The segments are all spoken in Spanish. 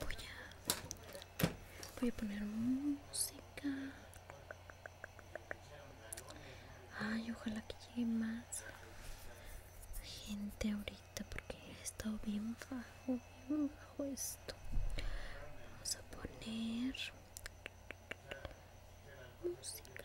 Voy a, voy a poner música. Ay, ojalá que llegue más gente ahorita porque he estado bien bajo, bien bajo esto. Vamos a poner música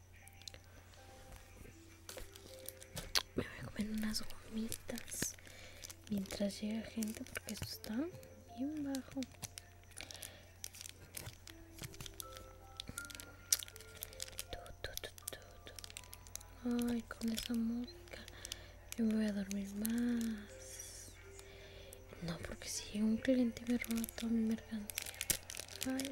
me voy a comer unas gomitas mientras llega gente porque esto está bien bajo. Ay, con esa música yo me voy a dormir más. No, porque si un cliente me roba toda mi mercancía. Ay,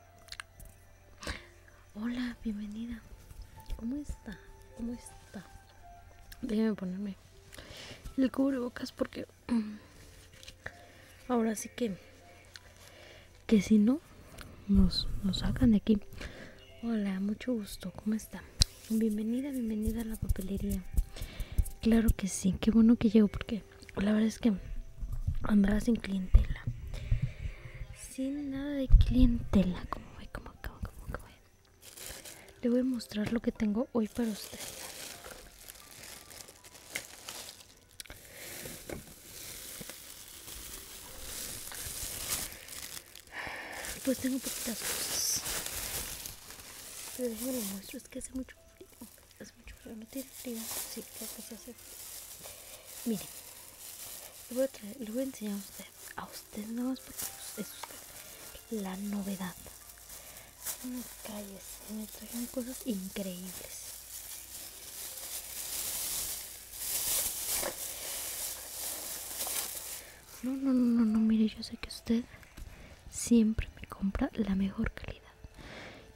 Hola, bienvenida. ¿Cómo está? ¿Cómo está? Déjeme ponerme el cubrebocas porque mm, ahora sí que que si no nos, nos sacan de aquí. Hola, mucho gusto. ¿Cómo está? Bienvenida, bienvenida a la papelería. Claro que sí, qué bueno que llego porque la verdad es que andrás sin clientela sin nada de clientela. Como voy como, como, como, Le voy a mostrar lo que tengo hoy para ustedes. Pues tengo poquitas cosas. Pero déjenme lo muestro, es que hace mucho frío. Hace mucho frío, no tiene frío. Sí, creo que se hace frío. Miren le voy a, enseñar a usted, a usted nada más porque es usted, la novedad. las calles, me trajeron cosas increíbles. No, no, no, no, no, mire, yo sé que usted siempre me compra la mejor calidad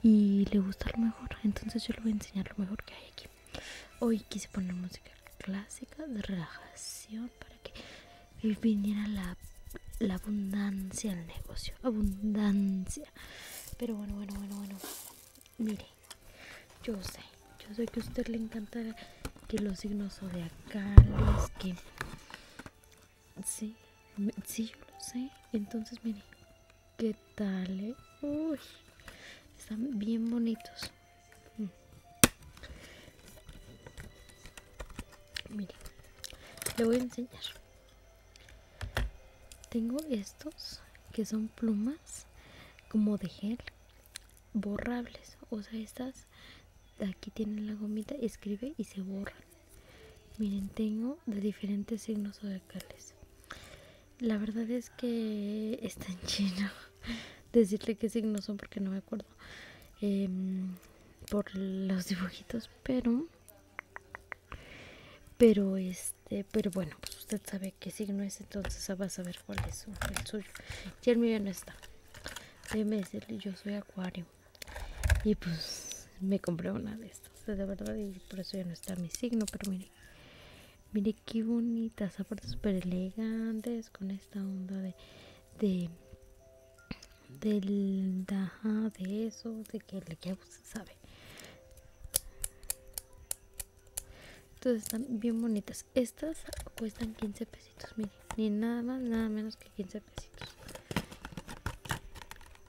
y le gusta lo mejor, entonces yo le voy a enseñar lo mejor que hay aquí. Hoy quise poner música clásica de relajación para que viniera la, abundancia al negocio. Abundancia. Pero bueno, bueno, bueno, bueno. Mire, yo sé, yo sé que a usted le encantará que los signos acá que... Sí, sí, yo lo sé. Entonces, mire, ¿Qué tal? Eh? Uy, están bien bonitos. Mm. Miren, le voy a enseñar. Tengo estos que son plumas como de gel borrables. O sea, estas aquí tienen la gomita, escribe y se borran. Miren, tengo de diferentes signos oracales. La verdad es que está en chino. Decirle qué signos son porque no me acuerdo em, por los dibujitos, pero pero este pero bueno pues usted sabe qué signo es entonces va a saber cuál es el suyo y el mío no está déjeme decirle yo soy acuario y pues me compré una de estas de verdad y por eso ya no está mi signo pero mire mire qué bonitas, aparte súper elegantes con esta onda de, de del de eso, de que le que pues, sabe. Entonces están bien bonitas. Estas cuestan 15 pesitos, miren, ni nada más, nada menos que 15 pesitos.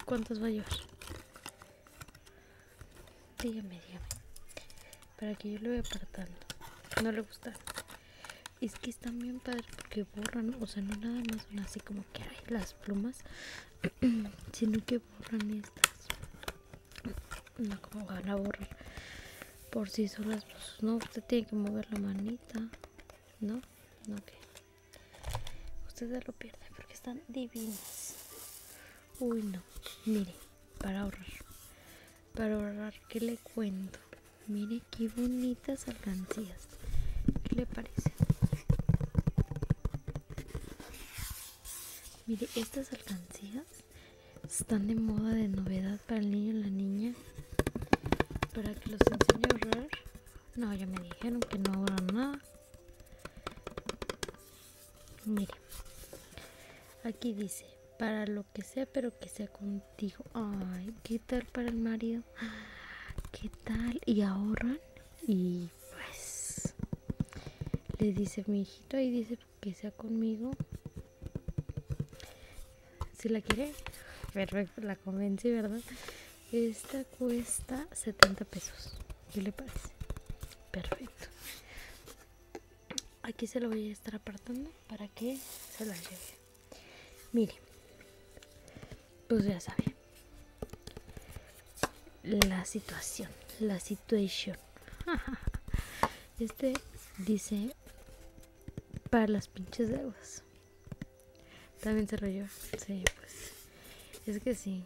¿Cuántos va a llevar? Dígame, dígame. Para que yo lo vea apartando. No le gusta. Es que están bien padres porque borran, o sea, no nada más son así como que hay las plumas, sino que borran estas. No, como van a borrar por son solas. no, usted tiene que mover la manita. ¿No? No, que. Usted lo pierde porque están divinas. Uy, no. Mire, para ahorrar. Para ahorrar, ¿qué le cuento? Mire qué bonitas alcancías. ¿Qué le parece? Mire, estas alcancías están de moda de novedad para el niño y la niña. Para que los enseñe a ahorrar. No, ya me dijeron que no ahorran nada. Mire, aquí dice, para lo que sea, pero que sea contigo. Ay, ¿qué tal para el marido? ¿Qué tal? Y ahorran. Y pues, le dice mi hijito, y dice que sea conmigo. Si la quiere, perfecto, la convencí, ¿verdad? Esta cuesta 70 pesos. ¿Qué le parece? perfecto aquí se lo voy a estar apartando para que se la lleve mire pues ya sabe la situación la situación este dice para las pinches deudas también se lo sí pues es que sí.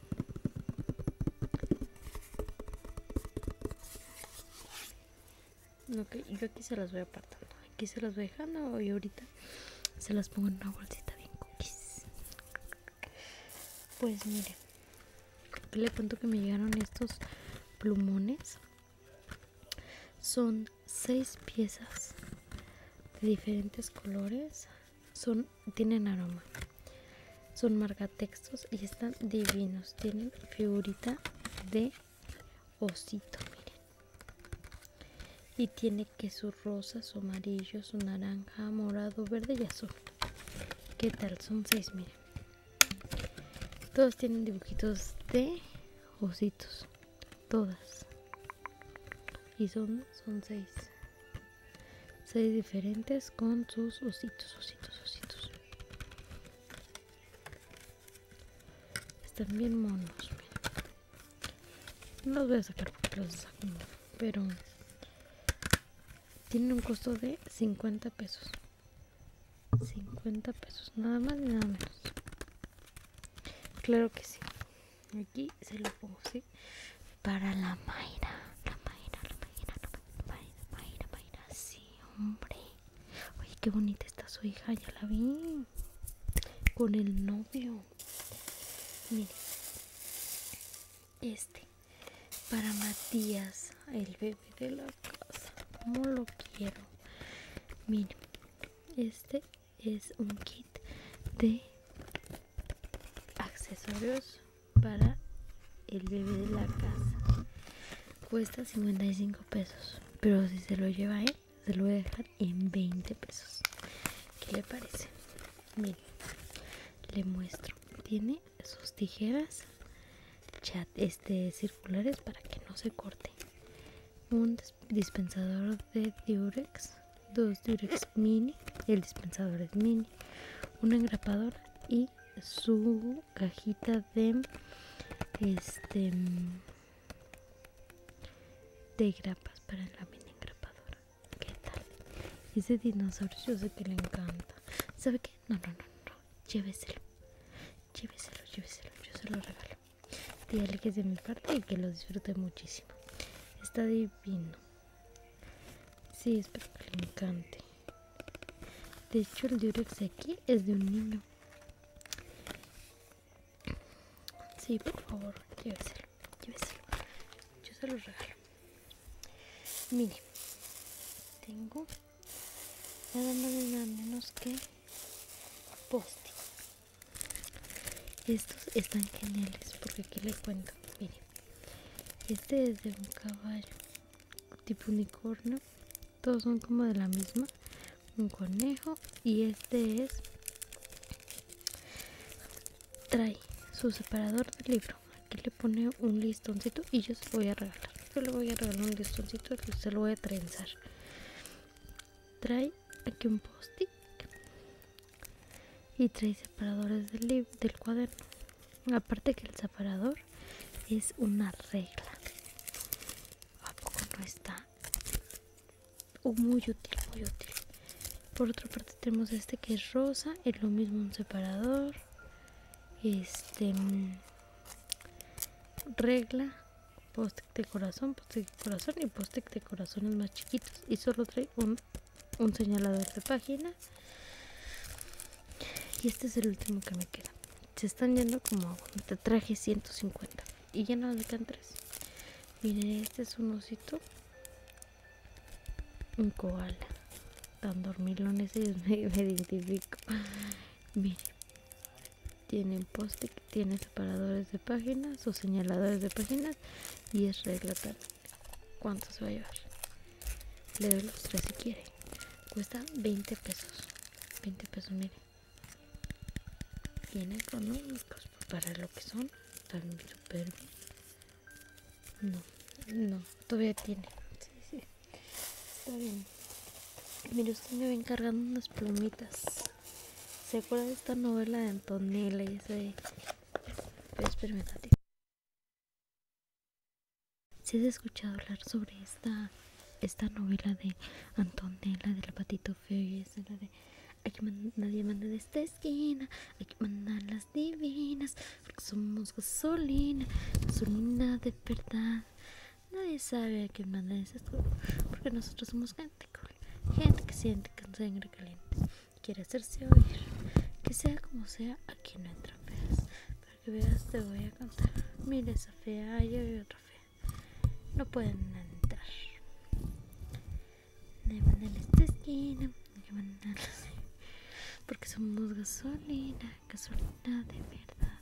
y yo aquí se las voy apartando. Aquí se las voy dejando y ahorita se las pongo en una bolsita bien cookies. Pues miren, le cuento que me llegaron estos plumones. Son seis piezas de diferentes colores son tienen aroma son marca textos y están divinos tienen figurita de osito miren y tiene que sus rosas Su amarillo, su naranja morado verde y azul qué tal son seis miren todos tienen dibujitos de ositos todas y son son seis seis diferentes con sus ositos, ositos, ositos. Están bien monos. No los voy a sacar porque los saco, pero tienen un costo de 50 pesos. 50 pesos, nada más ni nada menos. Claro que sí. Aquí se lo pongo, ¿sí? para la Mayra. La Mayra, la Mayra, la Mayra, Mayra, Sí, hombre. Oye, qué bonita está su hija, ya la vi. Con el novio. Miren Este. Para Matías, el bebé de la casa. Como lo quiero. Miren. Este es un kit de accesorios para el bebé de la casa. Cuesta 55 pesos, pero si se lo lleva él, se lo voy a dejar en 20 pesos. ¿Qué le parece? Miren, le muestro. Tiene sus tijeras chat, este, circulares para que no se corte. Un dispensador de diurex, dos diurex mini, el dispensador es mini una engrapadora y su cajita de este de grapas para la mini engrapadora. ¿Qué tal? Ese dinosaurio yo sé que le encanta. ¿Sabe qué? No, no, no, no. Lléveselo. Lléveselo, lléveselo. Yo se lo regalo. Dígale que es de mi parte y que lo disfrute muchísimo. Está divino si espero que le encante. De hecho, el diurex aquí es de un niño. si por favor, lléveselo, lléveselo. Yo se los regalo. Mire, tengo nada nada menos que postes. Estos están geniales porque aquí le cuento, miren. Este es de un caballo tipo unicornio. Todos son como de la misma. Un conejo. Y este es... Trae su separador de libro. Aquí le pone un listoncito y yo se lo voy a regalar. Yo le voy a regalar un listoncito que se lo voy a trenzar. Trae aquí un post-it y tres separadores del, del cuaderno aparte que el separador es una regla a ah, poco no está oh, muy útil muy útil por otra parte tenemos este que es rosa es lo mismo un separador este mm, regla post de corazón post de corazón y poste de corazones más chiquitos y solo trae un un señalador de página y este es el último que me queda se están yendo como te traje 150 y ya no me quedan tres miren este es un osito un koala tan dormilones ellos me, identifico miren tienen que tiene separadores de páginas o señaladores de páginas y es regla ¿Cuánto se va a llevar? Le doy los tres si quiere. Cuesta 20 pesos. 20 pesos, mire. Tiene económicos para lo que son. Están No, no, todavía tiene. Sí, sí. Está bien. miren usted me va encargando unas plumitas. ¿Se acuerda de esta novela de Antonella y ese... Espérame, si has escuchado hablar sobre esta, esta novela de Antonella, del patito feo y la de hay que mandar de esta esquina, hay que mandar las divinas, porque somos gasolina, gasolina de verdad. Nadie sabe a quién de esta esquina porque nosotros somos gente gente que siente con sangre caliente quiere hacerse oír. Que sea como sea, aquí no entran feas. Para que veas, te voy a contar. Mira esa yo y otra fea. No pueden entrar. Me van a esta esquina, Porque somos gasolina, gasolina de verdad.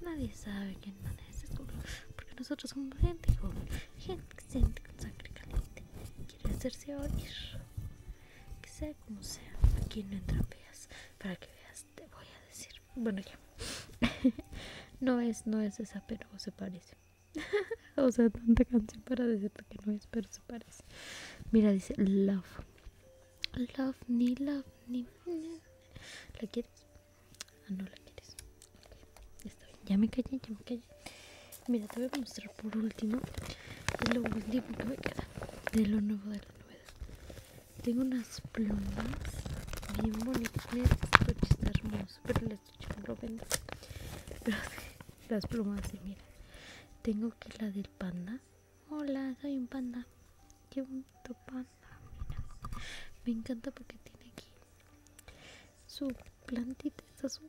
Nadie sabe quién manda ese culo. Porque nosotros somos gente joven, gente, que siente con sangre caliente, quiere hacerse oír. Que sea como sea, aquí no entrapeas. Para que veas, te voy a decir. Bueno, ya. no es, no es esa, pero se parece. o sea, tanta canción para decirte que no es, pero se parece. Mira, dice Love. Love, ni love, ni. ¿La quieres? Ah, no la quieres. Ya me callé, ya me callé. Mira, te voy a mostrar por último lo último que me queda de lo nuevo de la novedad. Tengo unas plumas bien bonitas. Mira, este está pero las estoy las plumas, y mira. Tengo aquí la del panda. Hola, soy un panda. Qué bonito panda, mira. Me encanta porque tiene aquí su plantita, esta su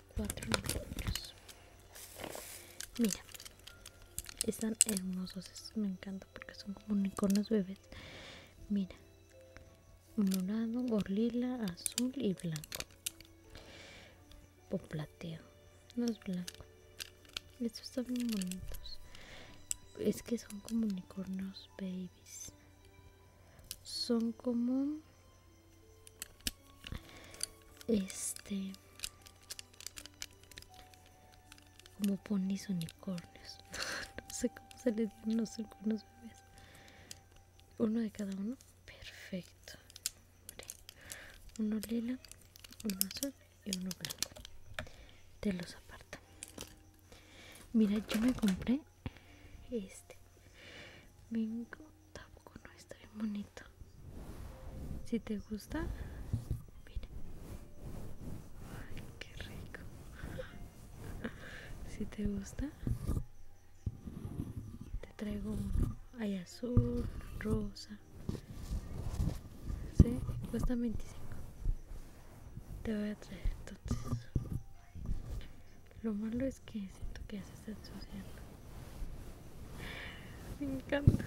Cuatro unicornos mira están hermosos estos me encantan porque son como unicornios bebés mira morado gorila azul y blanco o plateo no es blanco estos están muy bonitos es que son como unicornios babies son como este como ponis unicornios no sé cómo se les dieron los unicornios bebés uno de cada uno perfecto uno lila uno azul y uno blanco te los aparta mira yo me compré este Bingo tampoco no está bien bonito. Si te gusta, mira. que qué rico. Si te gusta, te traigo uno. Hay azul, rosa. Sí, cuesta 25. Te voy a traer entonces. Lo malo es que siento que ya se está Me encanta.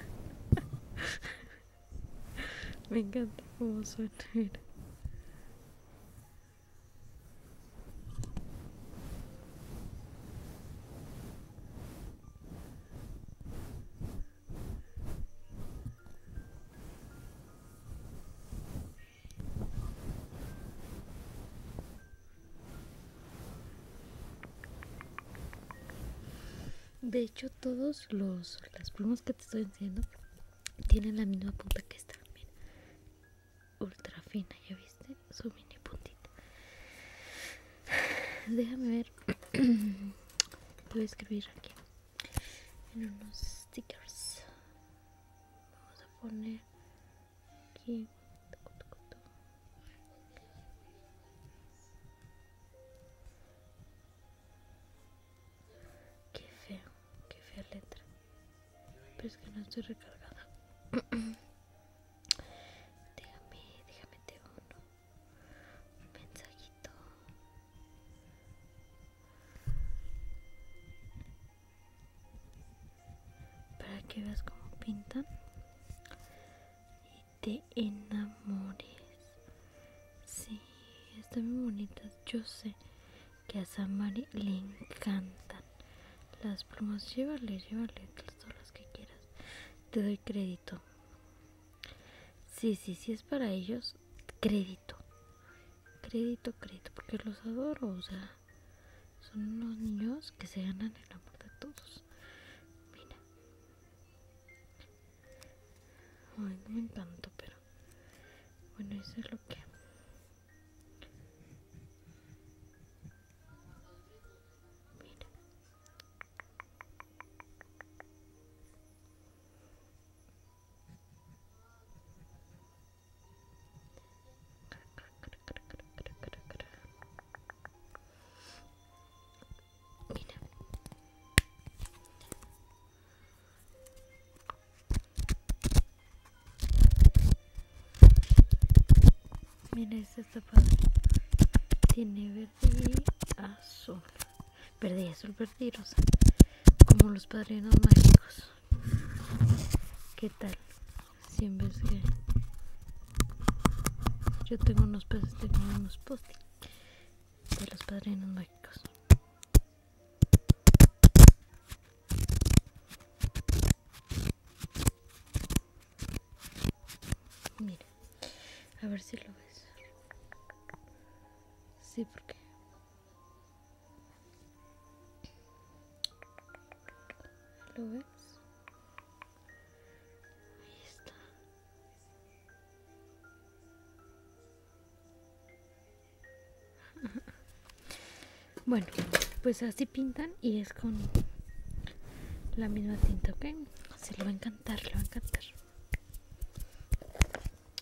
Me encanta como suena. De hecho, todos los las plumas que te estoy enseñando tienen la misma punta que esta, Ultra fina, ¿ya viste? Su mini puntita. Déjame ver. Voy a escribir aquí en unos stickers. Vamos a poner qué qué feo qué fea letra pero es que no estoy recargada déjame déjame te uno un mensajito para que veas como pintan y te enamores. Sí, están muy bonitas. Yo sé que a Samari le encantan las plumas. llévales, llévales todas las que quieras. Te doy crédito. Sí, sí, sí es para ellos. Crédito. Crédito, crédito. Porque los adoro, o sea. Son unos niños que se ganan el amor de todos. Mira. Ay, no me pero... Bueno, eso es lo que... Mira. Mira. Mira, esta está Tiene verde y azul. Verde y azul, verde Como los padrinos mágicos. ¿Qué tal? Si en vez que yo tengo unos peces, tengo unos post de los padrinos mágicos. Mira, a ver si lo ves. Sí, porque bueno, pues así pintan y es con la misma tinta, ¿ok? Se le va a encantar, lo va a encantar.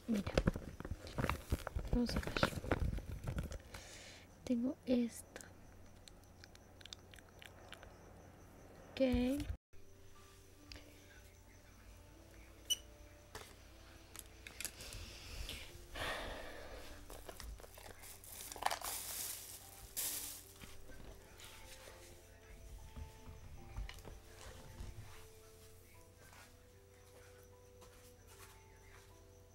Mira, vamos a ver tengo esto ok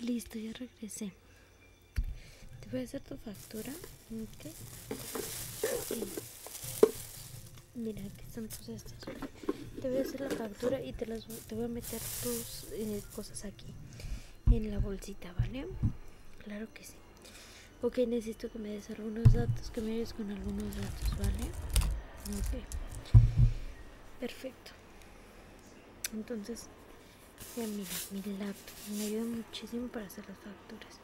Listo, ya regresé. Te voy a hacer tu factura. ok Mira, aquí están tus Te voy a hacer la factura y te, las, te voy a meter tus eh, cosas aquí. En la bolsita, ¿vale? Claro que sí. Ok, necesito que me des algunos datos, que me ayudes con algunos datos, ¿vale? Ok. Perfecto. Entonces, mira, mi laptop me ayuda muchísimo para hacer las facturas.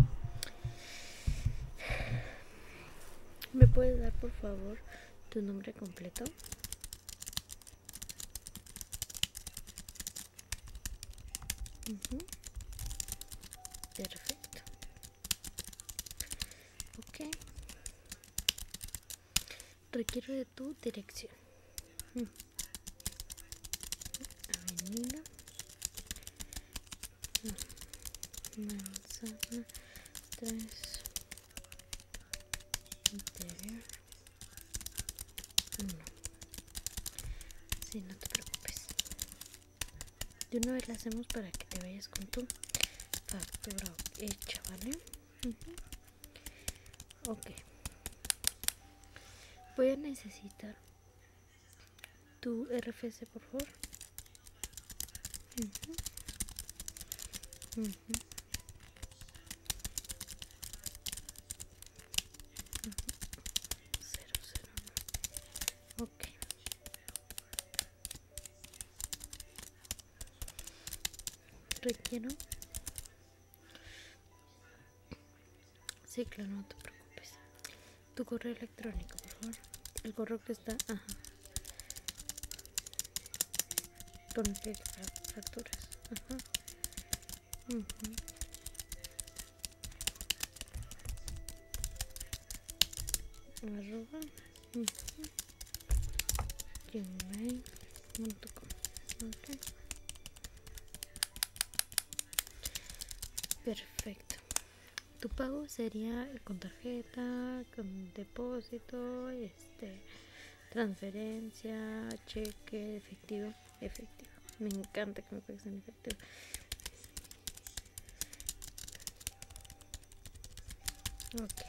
¿Me puedes dar por favor tu nombre completo? Perfecto. Ok. Requiero tu dirección. Mm. Avenida mm. Manzana 3 Interior uno Si sí, no te preocupes. De una vez la hacemos para que te vayas con tu factura hecha, ¿vale? ok voy a necesitar tu RFC por favor ok requiero Sí, claro, no te preocupes. Tu correo electrónico, por favor. El correo que está... Ajá. Con el que fracturas. Ajá. Ajá Perfecto. Tu pago sería con tarjeta, con depósito, este, transferencia, cheque, efectivo, efectivo. Me encanta que me pagues en efectivo. Ok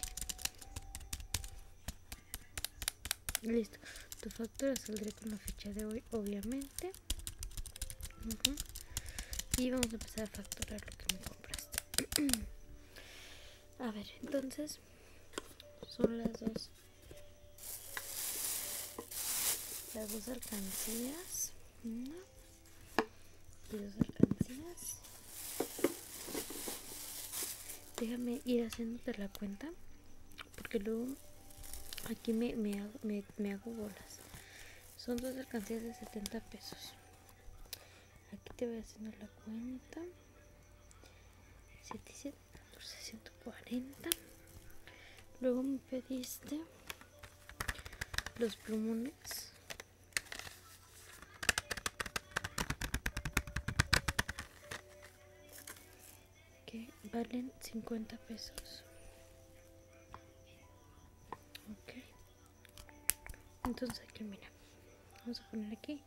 listo tu factura saldrá con la fecha de hoy obviamente y vamos a empezar a facturar lo que me compraste a ver entonces son las dos las dos alcancías una y dos alcancías déjame ir haciéndote la cuenta porque luego aquí me, hago, me, hago bolas son dos alcancías de 70 pesos aquí te voy a hacer la cuenta 714 luego me pediste los plumones que valen 50 pesos ok entonces aquí mira vamos a poner aquí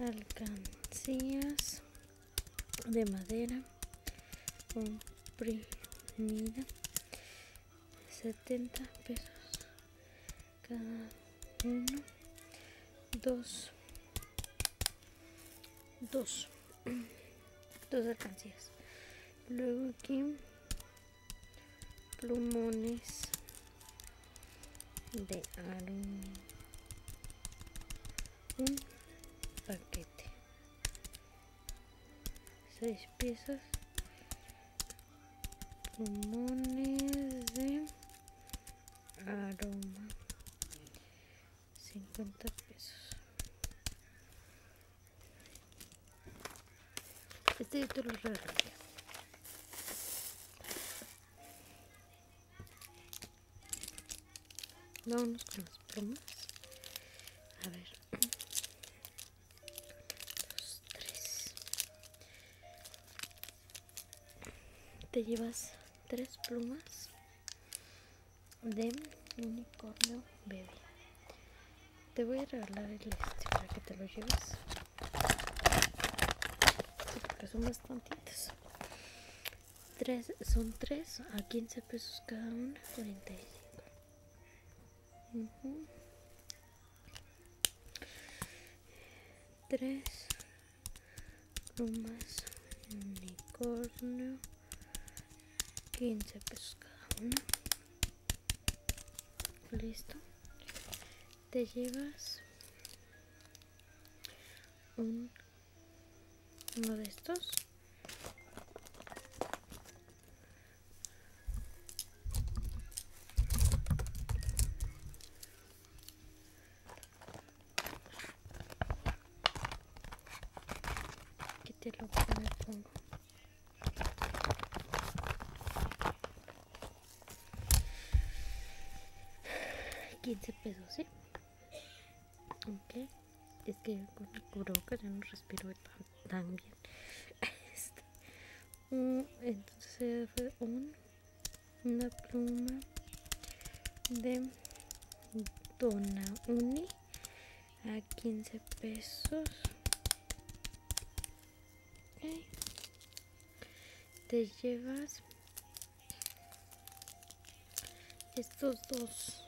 alcancías de madera comprimida 70 pesos cada uno dos dos dos alcancías luego aquí plumones de aro un paquete seis piezas plumones de aroma 50 pesos este es te lo con las a ver te llevas tres plumas de unicornio bebé te voy a regalar el este para que te lo lleves porque son bastantitos tres son tres a 15 pesos cada una 45 3 Rumas unicornio, 15 pesos cada uno. Listo. Te llevas uno de estos. Que te lo pongo. $15 pesos, ¿sí? Ok. Es que con el que ya no respiro tan, bien. Este. entonces fue un una pluma de dona uni a 15 pesos te llevas estos dos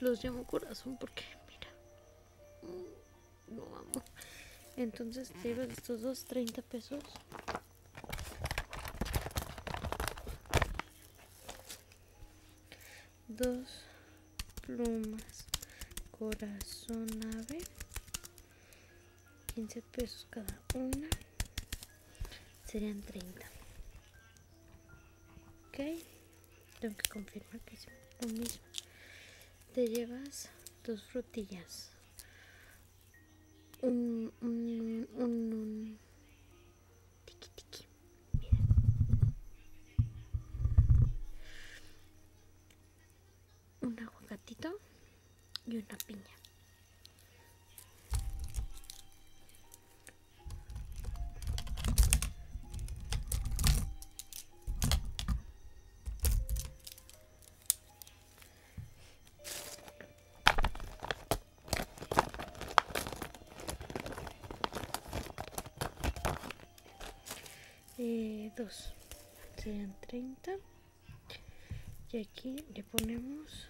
los llamo corazón porque mira no amo entonces te llevas estos dos 30 pesos dos plumas corazón ave 15 pesos cada una serían 30 ok tengo que confirmar que es lo mismo te llevas dos frutillas un, un, un, un tiki tiki. Un aguacatito y una piña y 2 5 30 y aquí le ponemos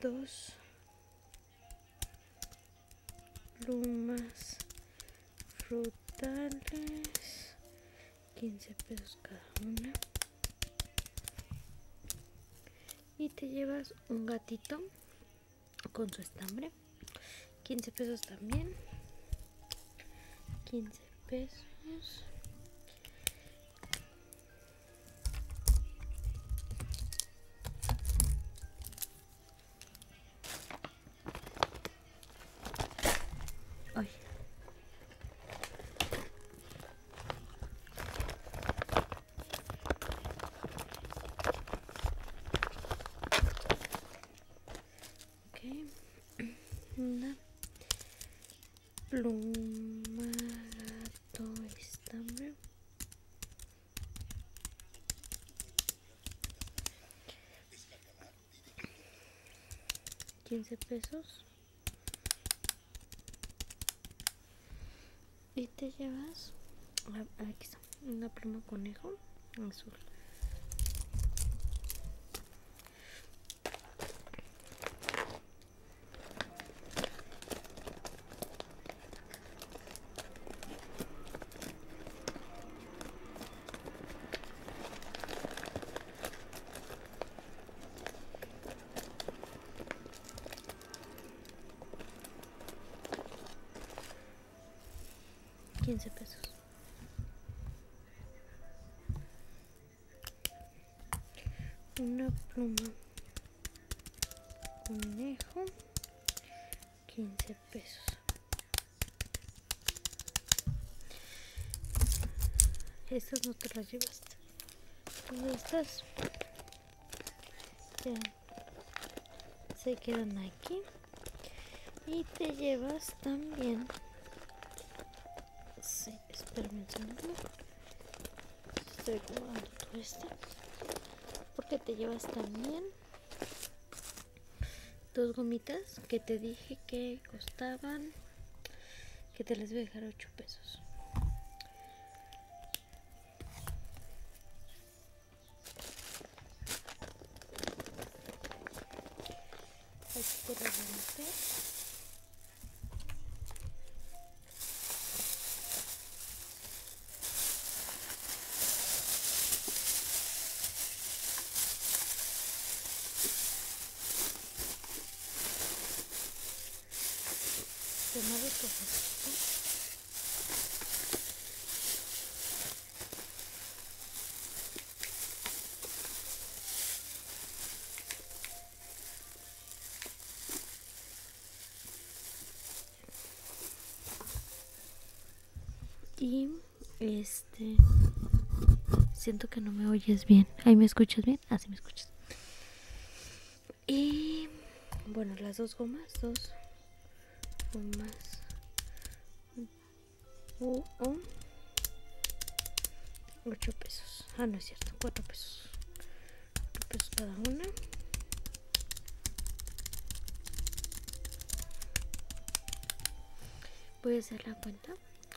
2 plus frutales 15 pesos cada una y te llevas un gatito con su estambre 15 pesos también 15 pesos Okay. Una pluma, gato, estambre. 15 pesos y te llevas aquí está una pluma conejo azul 15 pesos. Una pluma. Conejo. 15 pesos. Estas no te las llevaste. Estas se quedan aquí. Y te llevas también. Sí, espérame un segundo. Estoy acomodando todo esto. Porque te llevas también dos gomitas que te dije que costaban que te les voy a dejar 8 pesos aquí te las voy a meter de y es este, este, siento que no me oyes bien. Ahí me escuchas bien. Así ah, me escuchas. Y. Bueno, las dos gomas. Dos gomas. Uh, 8 pesos. Ah, no es cierto. 4 pesos. 4 pesos cada una. Voy a hacer la cuenta.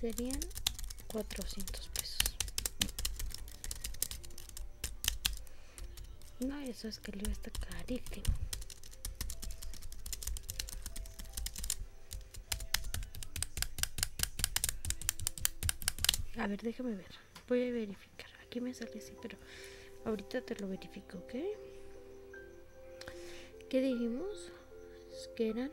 serían 400 pesos no eso es que el libro está carísimo a ver déjame ver voy a verificar aquí me sale así pero ahorita te lo verifico ok ¿Qué dijimos? Es que eran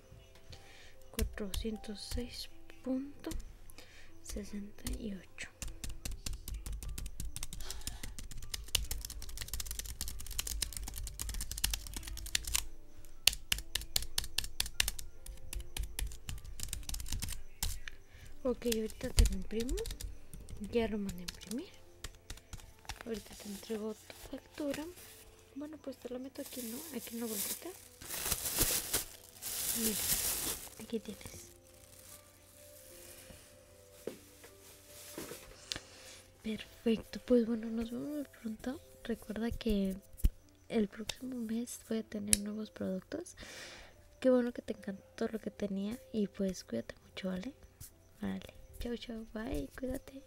406.68 Ok, ahorita te lo imprimo. Ya lo mandé a imprimir. Ahorita te entrego tu factura. Bueno, pues te lo meto aquí, ¿no? Aquí en la bolsita. Mira, aquí tienes. Perfecto, pues bueno, nos vemos pronto. Recuerda que el próximo mes voy a tener nuevos productos. Qué bueno que te encantó lo que tenía y pues cuídate mucho, ¿vale? Vale, chao, chao, bye, cuídate.